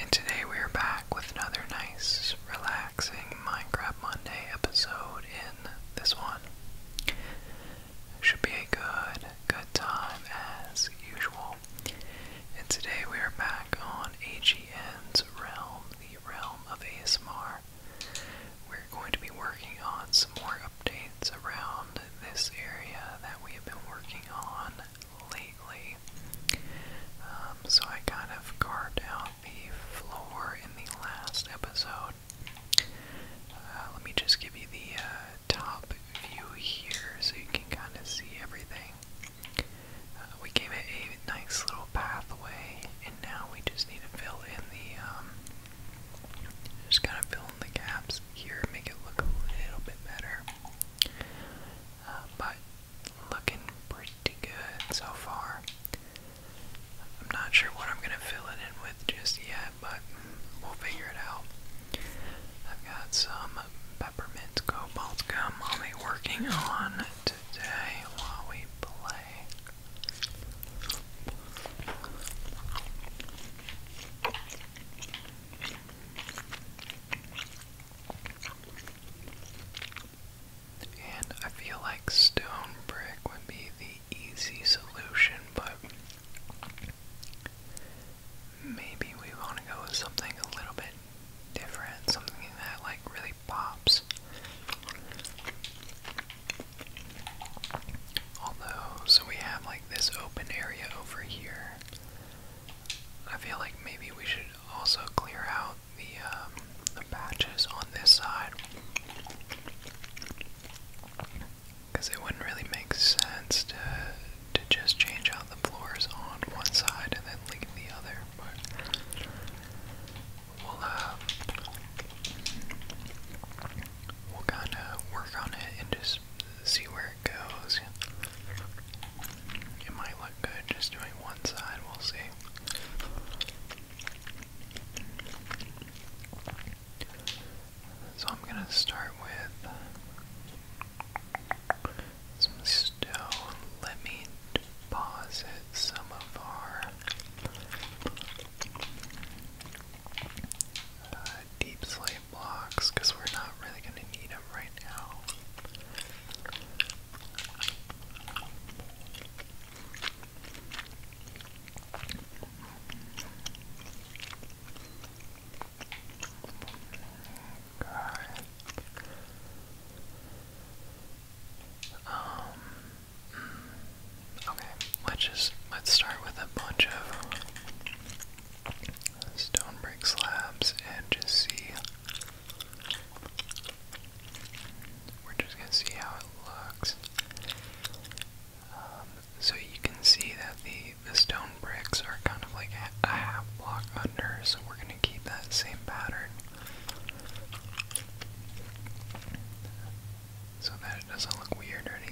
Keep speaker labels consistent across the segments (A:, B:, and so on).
A: And today we are back with another nice, relaxing Minecraft Monday episode in this one. Should be a good, good time as usual. And today we are back on AGN's realm, the realm of ASMR. We're going to be working on some more updates around this area that we have been working on lately. Um, so I kind of carved out the floor in the last episode. Uh, let me just give you the uh, top view here so you can kind of see everything. Uh, we gave it a nice little pathway, and now we just need to fill in the, um, just kind of fill in the gaps here make it look a little bit better. Uh, but looking pretty good so far. I'm not sure what I'm going to fill it in with just yet, but we'll figure it out. I've got some peppermint cobalt gum I'll be working on today while we play. And I feel like stone brick would be the easy solution, but maybe we want to go with something a little bit different, something that like really pops. Although, so we have like this open area over here. I feel like maybe we should also clear out the, um, the patches on this side. Because it wouldn't really make sense to, to just change out the floors on one side and then leave the other. But we'll, uh, we'll kind of work on it and just see where goes. It might look good just doing one side, we'll see. So I'm gonna start with some stone. Let me deposit some of our uh, deep slate blocks because we're not really gonna need them right now. Um okay, let's just let's start with a bunch of stone brick slabs and just see. We're just going to see how it looks. Um, so you can see that the, the stone bricks are kind of like a half block under, so we're going to keep that same pattern. So that it doesn't look weird or anything.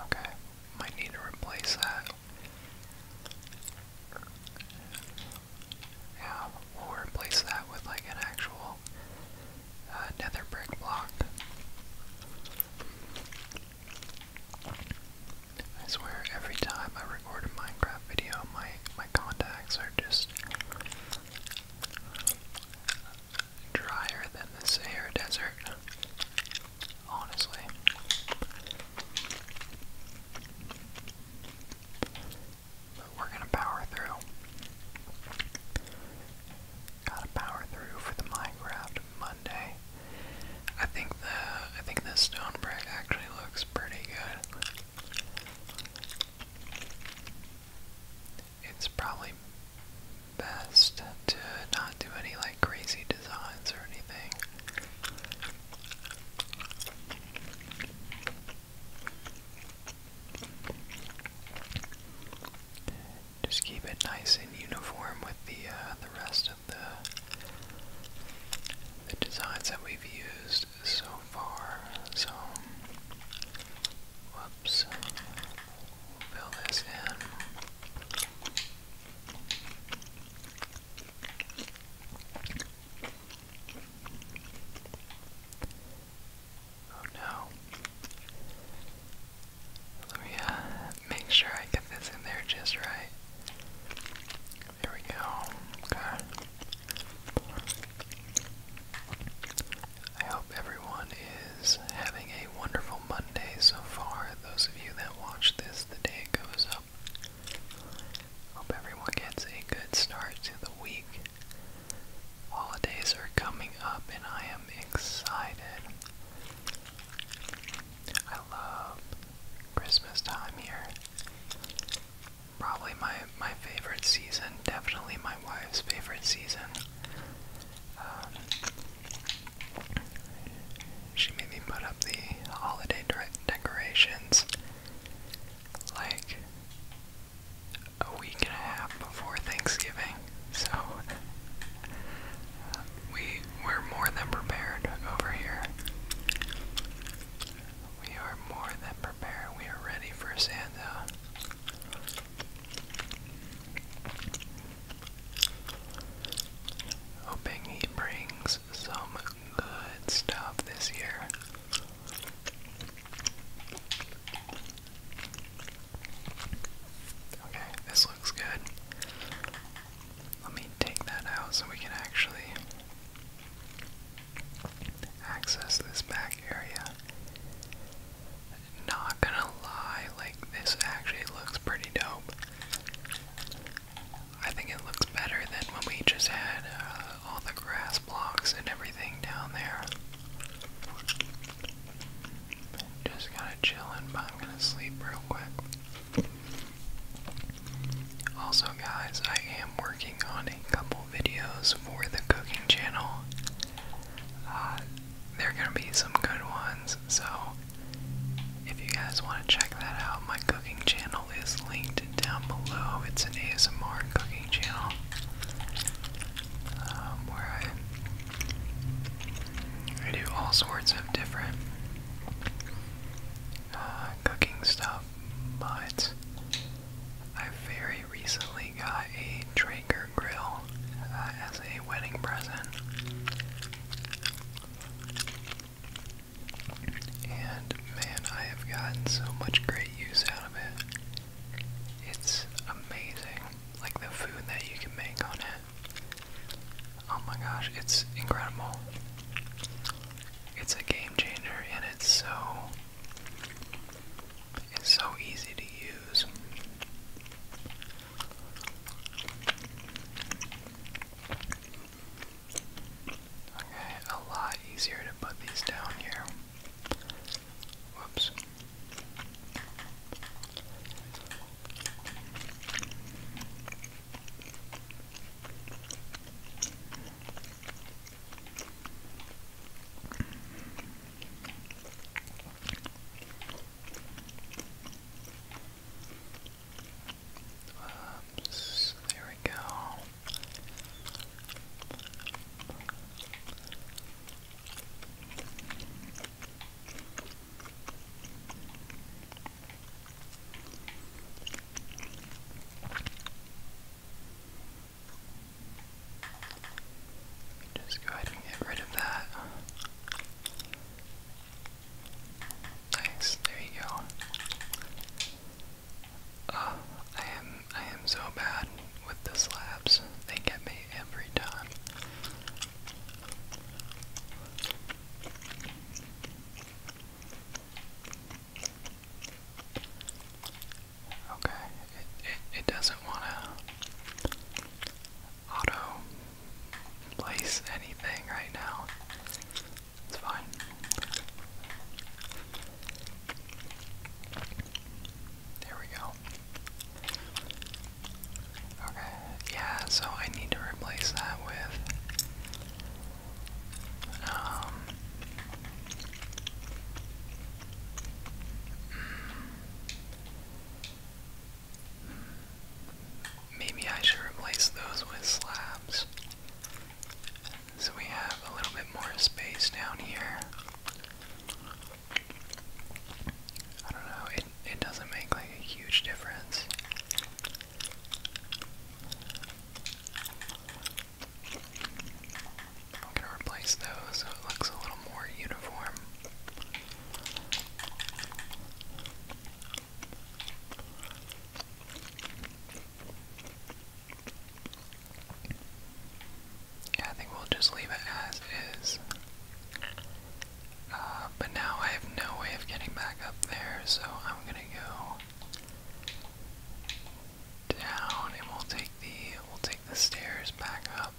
A: Okay, might need to replace that. Yeah, we'll replace that with like an actual uh, nether brick block. I swear every time I record a Minecraft video, my my contacts are just drier than the Sahara Desert. Honestly. But we're gonna power through. Gotta power through for the Minecraft Monday. I think the I think this stone brick actually looks pretty good. It's probably best to not do any like crazy designs or anything. Just keep it nice and uniform with the uh, the rest uh, the designs that we've used so far. So, whoops, fill this in. Oh no. Let me uh, make sure I get this in there just right. There we go. Okay. I hope everyone is having a wonderful Monday so far. Those of you that watch this the day it goes up. Hope everyone gets a good start to the week. Holidays are coming up and I am excited. I love Christmas time here probably my my favorite season, definitely my wife's favorite season. Um, she made me put up the holiday decorations like a week and a half before Thanksgiving, so um, we were more than prepared over here. We are more than prepared. We are ready for Santa. Hoping he brings some good stuff this year. Okay, this looks good. Let me take that out so we can actually access this back area. Not gonna lie, like this actually looks pretty dope. I think it looks better than when we just had uh, all the grass blocks and everything down there. Just kind of chilling, but I'm gonna sleep real quick. Also, guys, I am working on a couple videos for the cooking channel. Uh, there are going to be some good ones, so if you guys want to check that out, my cooking channel is linked down below. It's an ASMR cooking channel um, where I, do all sorts of different uh, cooking stuff but I very recently got a Traeger grill uh, as a wedding present. And man, I have gotten so much great use out of it. It's amazing. Like the food that you can make on it. Oh my gosh, it's incredible. It's a game and it's so it's so easy to use. Okay, a lot easier to put these down here. Whoops. Oops, there we go. Just go ahead and get rid of that. Nice, there you go. Uh, I am I am so bad with the slabs. They get me every time. Okay, it, it, it doesn't want to auto place anything right now. It's fine. There we go. Okay, yeah, so I need to replace that with um, maybe I should replace those with slabs. So we have a little bit more space down here. I don't know, it, it doesn't make like a huge difference. I'm gonna replace those so it looks a little more uniform. I think we'll just leave it as is. Uh, but now I have no way of getting back up there, so I'm gonna go down, and we'll take the we'll take the stairs back up.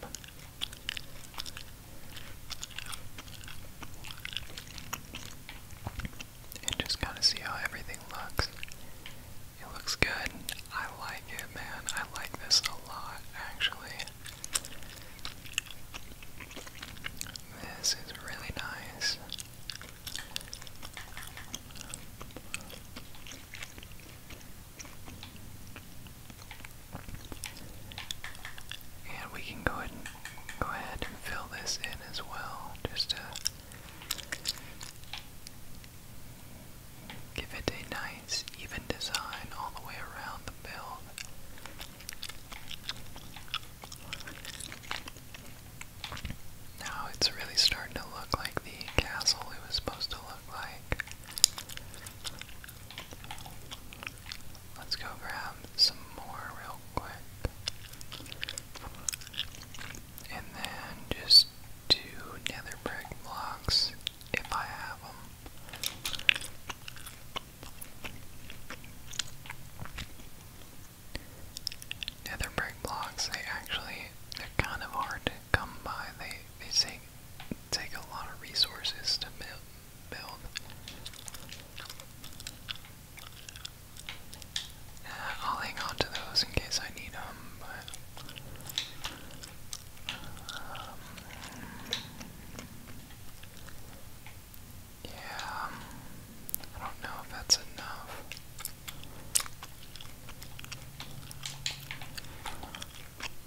A: And just kind of see how everything looks. It looks good. I like it, man. I like this a lot, actually. This is really nice. And we can go ahead go ahead and fill this in as well, just to give it a nice even design all the way around the build. Now it's really starting to look like the castle it was supposed to look like. Let's go grab some more real quick. And then just two nether brick blocks if I have them. Nether brick blocks, they actually, they're kind of hard to come by. They they take take a lot of resources to build. build. Uh, I'll hang on to those in case I need them, but um, yeah, I don't know if that's enough.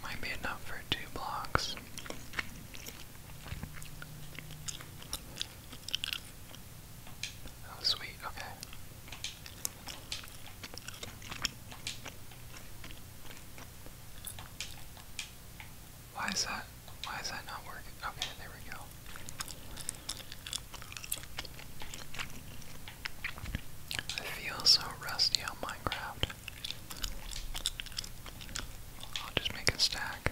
A: Might be enough for two blocks. Oh, sweet, okay. Why is that? Why is that not working? Okay, there we go. I feel so rusty on Minecraft. I'll just make a stack.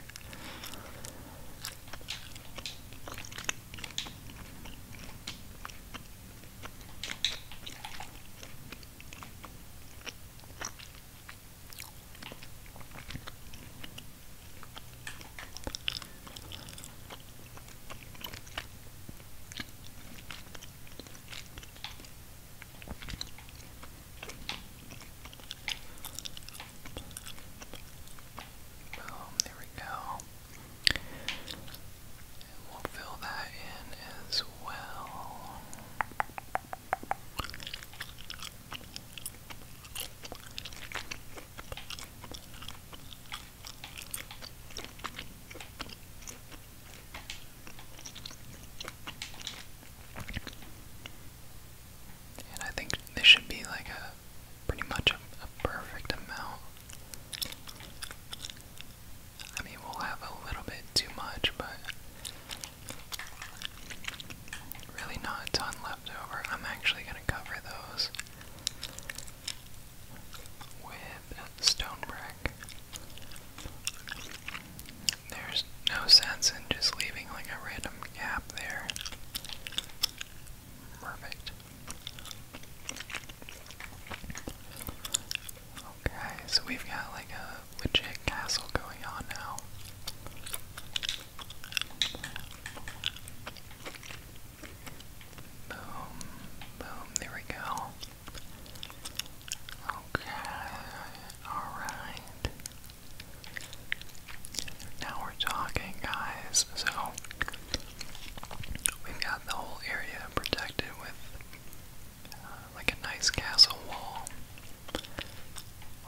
A: Boom, there we go. And we'll fill that in as well. And I think this should be like a pretty much a, perfect amount. I mean, we'll have a little bit too much, but really not a ton left over. I'm actually going to cover those with stone brick. There's no sense in just leaving like a random gap there. Perfect. Okay, so we've got like a legit castle going on now. Boom, boom, there we go. Okay, alright. Now we're talking, guys. So, we've got the whole area protected with uh, like a nice castle wall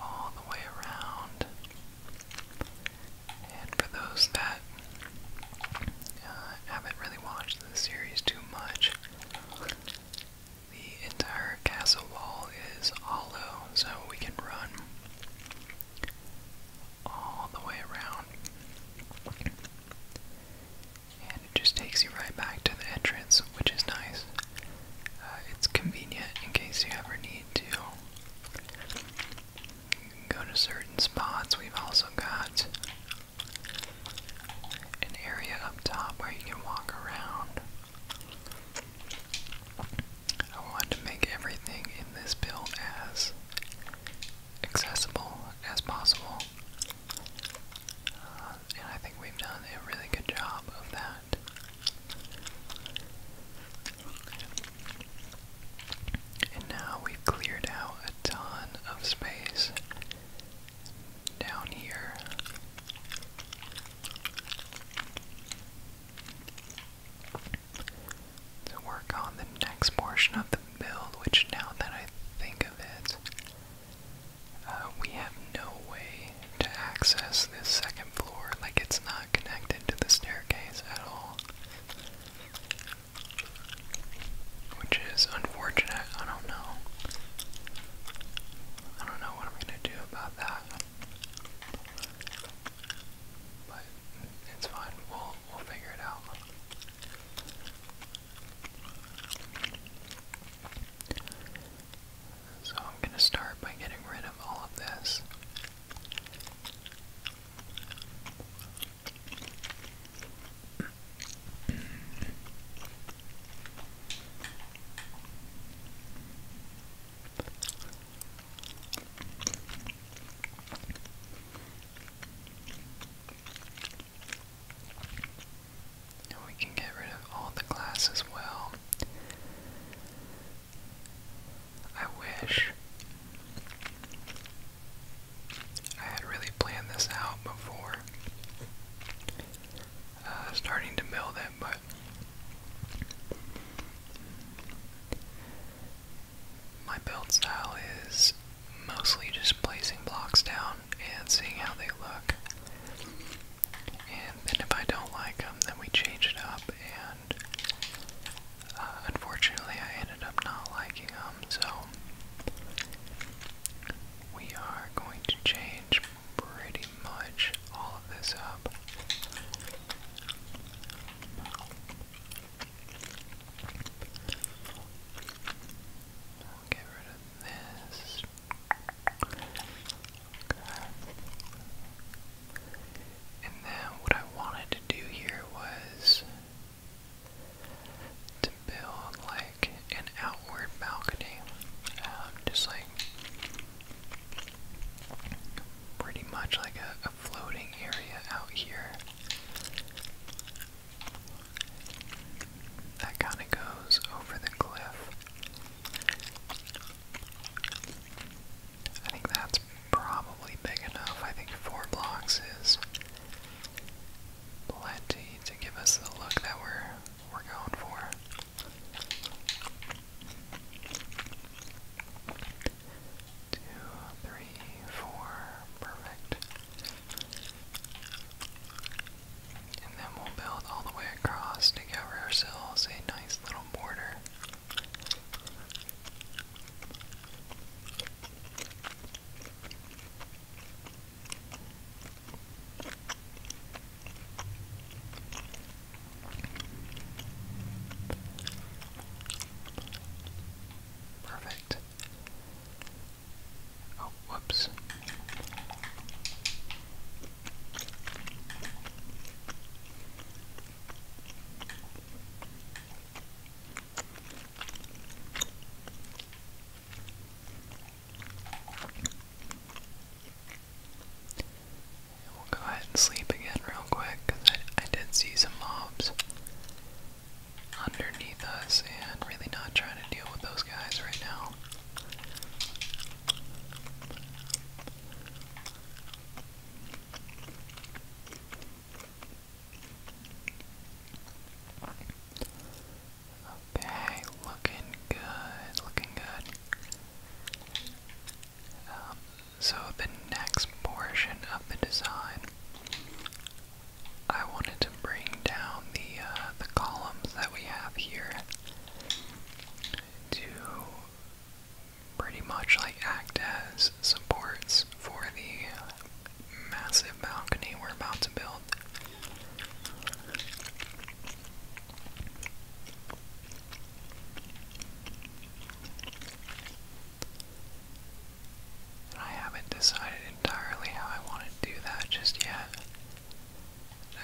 A: all the way around. And for those that uh, haven't really watched the series too much. The entire castle wall is hollow, so we can run all the way around. And it just takes you right back to the entrance, which is nice. Uh, it's convenient in case you ever need to go to certain spots. We've also got an area up top where you can walk around. I want to make everything in this build as accessible as possible. Uh, and I think we've done a really good job of that. And now we've cleared out a ton of space down here. To work on the next portion of the build, which now that I think of it, uh, we have no way to access this second floor. Like it's not connected to the staircase at all. Which is unfortunate. I don't know. I don't know what I'm going to do about that. But it's fine. We'll, we'll figure it out. So I'm going to start by getting rid of all of this. And we can get rid of all the glass as well. I wish I had really planned this out before uh, starting to build it, but my build style is mostly just placing blocks down and seeing how they look. And then if I don't like them, then we change it up and uh, unfortunately I ended up not liking them, so we are going to change pretty much all of this up. get rid of this. And then what I wanted to do here was to build like an outward balcony, um, just like pretty much like a floating area out here. That kind of goes over the cliff. I think that's probably big enough. I think four blocks is plenty to give us the look that we're we're going for. Two, three, four, perfect. And then we'll build all the way across to cover ourselves a nice little border. Perfect. Oh, whoops we'll go ahead and sleep again real quick because I did see some mobs underneath us and really not trying to deal with those guys right now. Okay, looking good, looking good. Um, so the next portion of the design, I wanted to bring down the uh, the columns that we have here to pretty much like act as supports for the massive balcony we're about to build. I haven't decided entirely how I want to do that just yet.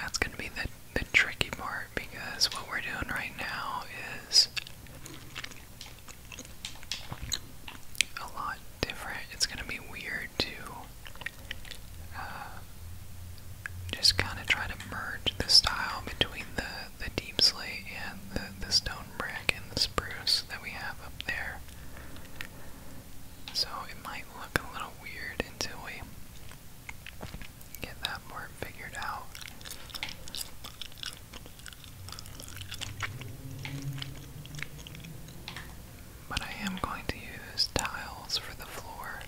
A: That's going to be the, the tricky part because what we're doing right now is a lot different. It's gonna be weird to uh, just kind of try to merge the style between the the deep slate and the the stone brick and the spruce that we have up there. So it might look a little weird until we get that more figured out but I am going to use tiles for the floor.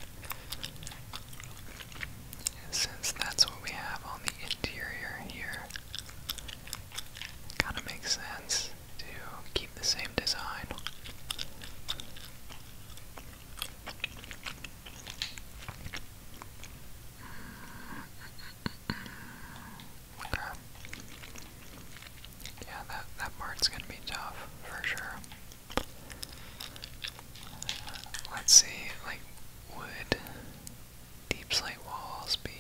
A: Since that's what we have on the interior here, kind of makes sense to keep the same design. Okay. Yeah, that, that part's gonna be tough, for sure. Let's see, like, would deep slate walls be...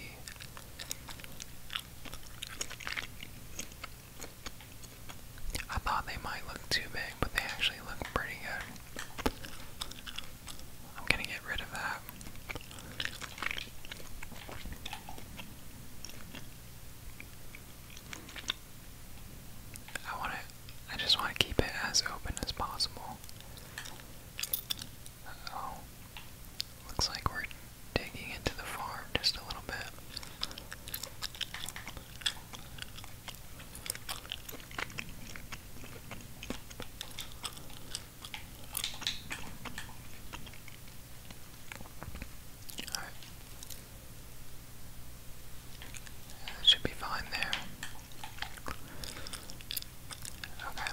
A: I thought they might look too big, but they actually look pretty good. I'm gonna get rid of that. I want to, I just want to keep it as open as possible. oh. Looks like we're digging into the farm just a little bit should be fine there. Okay.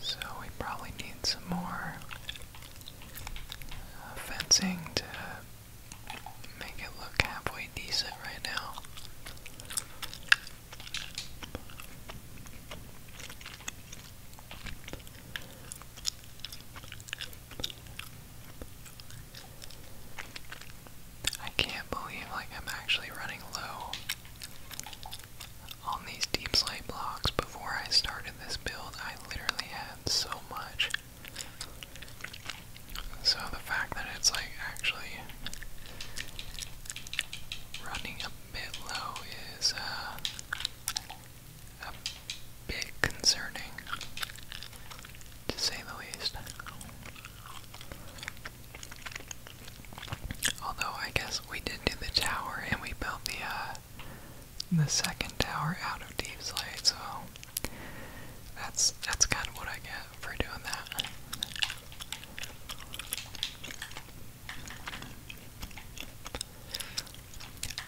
A: So we probably need some more uh, fencing to make it look halfway decent right now. I can't believe like I'm actually running low on these deep slate blocks. Before I started this build, I literally had so much. So the fact that it's like actually running a bit low is uh, a bit concerning, to say the least. Although I guess we did do the tower and we built the uh, the second tower out of Deep's Light, so that's that's kind of what I get for doing that.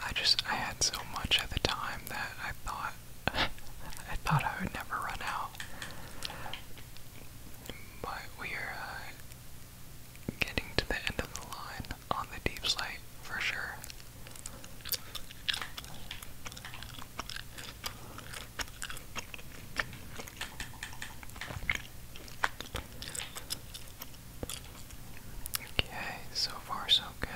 A: I just I had so much at the time that I thought I thought I would never run out. But we're uh, getting to the end of the line on the deep for sure. Okay, so far so good.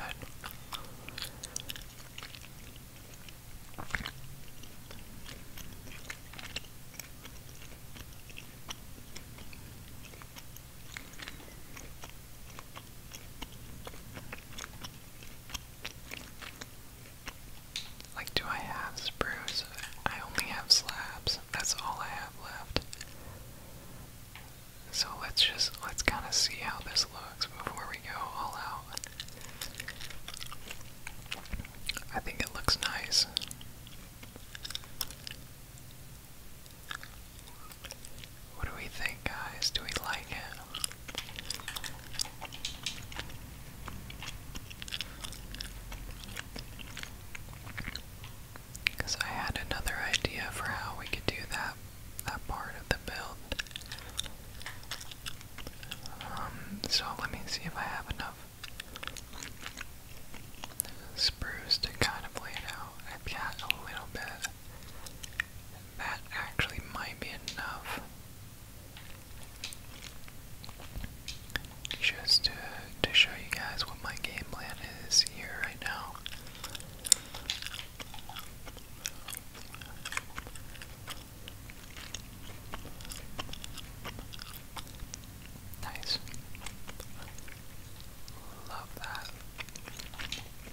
A: Like, do I have spruce? I only have slabs. That's all I have left. So let's just, let's kind of see how this looks before we go all out. I think it looks nice. What do we think, guys? Do we like it? Because I had another idea for how we could do that that part of the build. Um, so let me see if I have enough spruce to kind of lay it out. I've got a little bit. That actually might be enough. Just to, to show you guys what my game plan is here right now. Nice. Love that.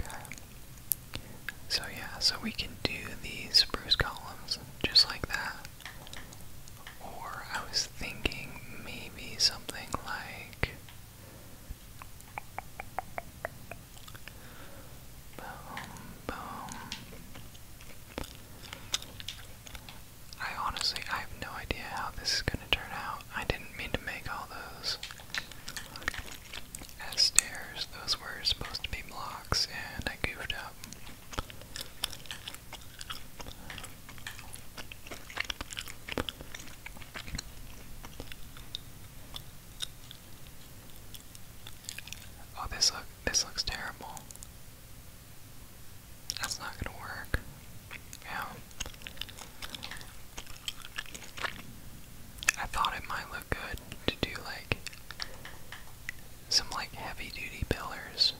A: Okay. So yeah, so we can do these spruce columns just like that. Or I was thinking maybe something like boom. I honestly I have no idea how this is gonna turn out. I didn't mean to make all those as stairs. Those were supposed to be blocks, and I goofed up. Oh, this look this looks terrible. That's not gonna work. Yeah. I thought it might look good to do like some like heavy duty pillars.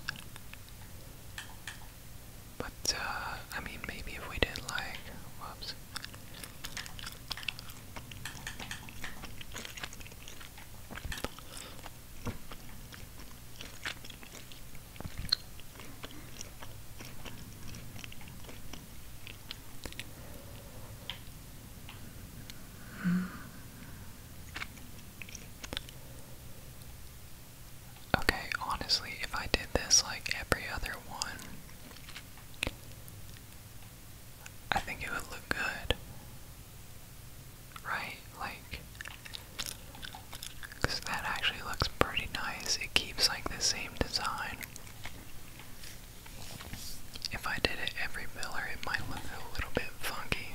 A: But uh I mean maybe if we did like whoops Okay, honestly, if I did this like every other one, I think it would look good. Right? Like, that actually looks pretty nice. It keeps like the same design. If I did it every miller, it might look a little bit funky.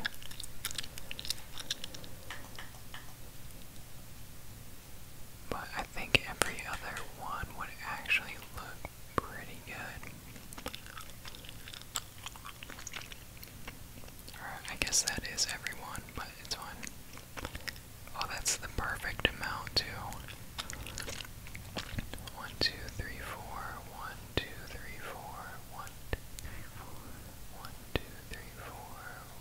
A: But I think every other one would actually look pretty good. Alright, I guess that is everyone, but it's fine. Oh, that's the perfect amount, too. One, two, three, four. One, two, three, four. One, two, three, four. One, two, three, four.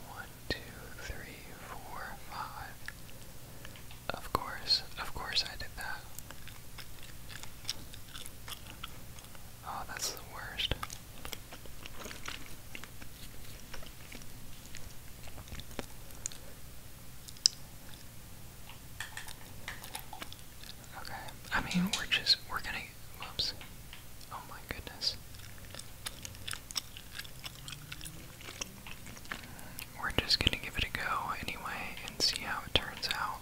A: One, two, three, four, five. Of course, of course I did that. Oh, that's the worst. Okay, I mean, we're just, we're gonna, whoops. Oh my goodness. We're just gonna give it a go anyway and see how it turns out.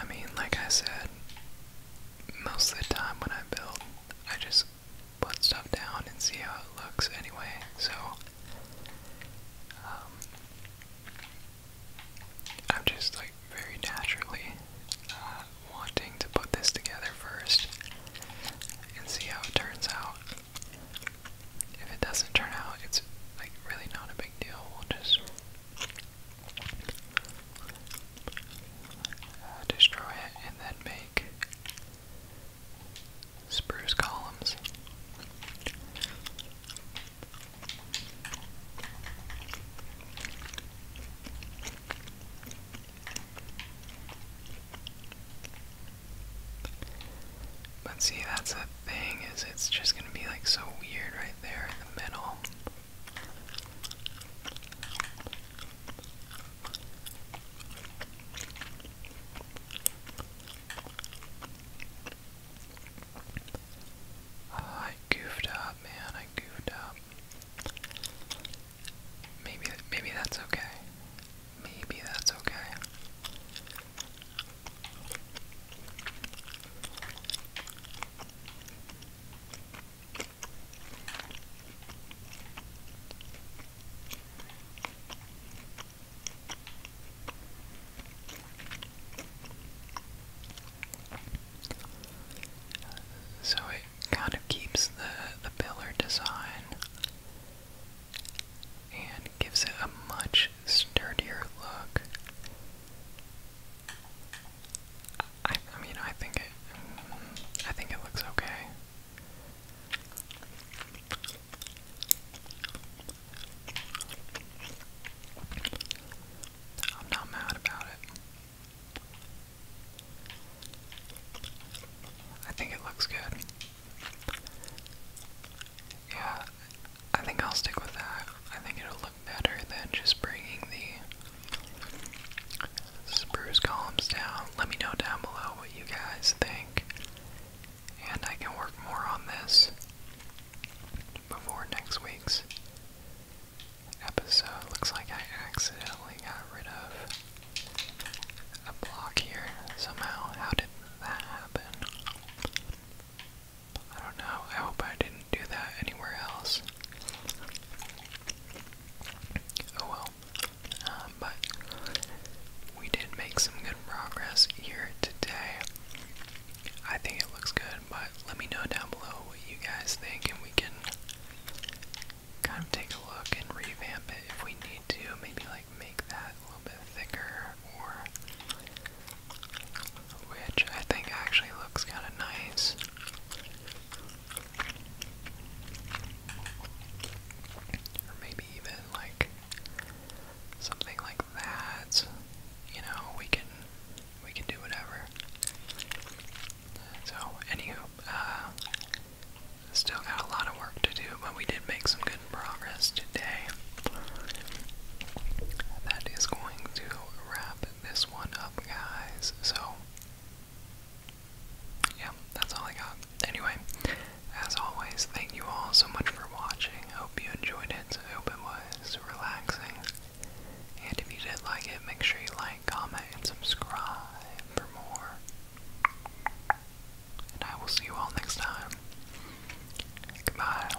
A: I mean, like I said, most of the time when I build, I just put stuff down and see how it looks anyway, so um, I'm just like very naturally uh, wanting to put this together first and see how it turns out. If it doesn't turn out, it's like really not a big deal. We'll just destroy it and then make spruce columns. But see, that's the thing, is it's just gonna be like so weird right there in the middle. Oh, I goofed up, man. I goofed up. Maybe, maybe that's okay. Maybe that's okay. So it kind of keeps the, the pillar design and gives it a much sturdier look. I, mean, I think it, I think it looks okay. I'm not mad about it. I think it looks good. Yeah, I think I'll stick with that. I think it'll look better than just bringing the spruce columns down. Let me know down below what you guys think, and I can work more on this before next week's episode. Looks like I accidentally got rid of a block here somehow. How did that happen? I don't know. I hope I didn't do that anywhere else. Oh well. Um, but we did make some good progress here today. I think it looks good, but let me know down below what you guys think, and we can kind of take a look and revamp it if we need to. Maybe like make that a little bit thicker, or which I think actually looks kind of nice. Or maybe even like something like that. You know, we can we can do whatever. So, anywho, uh, still got a lot of work to do, but we did make some good progress today. That is going to wrap this one guys. So, yeah, that's all I got. Anyway, as always, thank you all so much for watching. Hope you enjoyed it. hope it was relaxing. And if you did like it, make sure you like, comment, and subscribe for more. And I will see you all next time. Goodbye.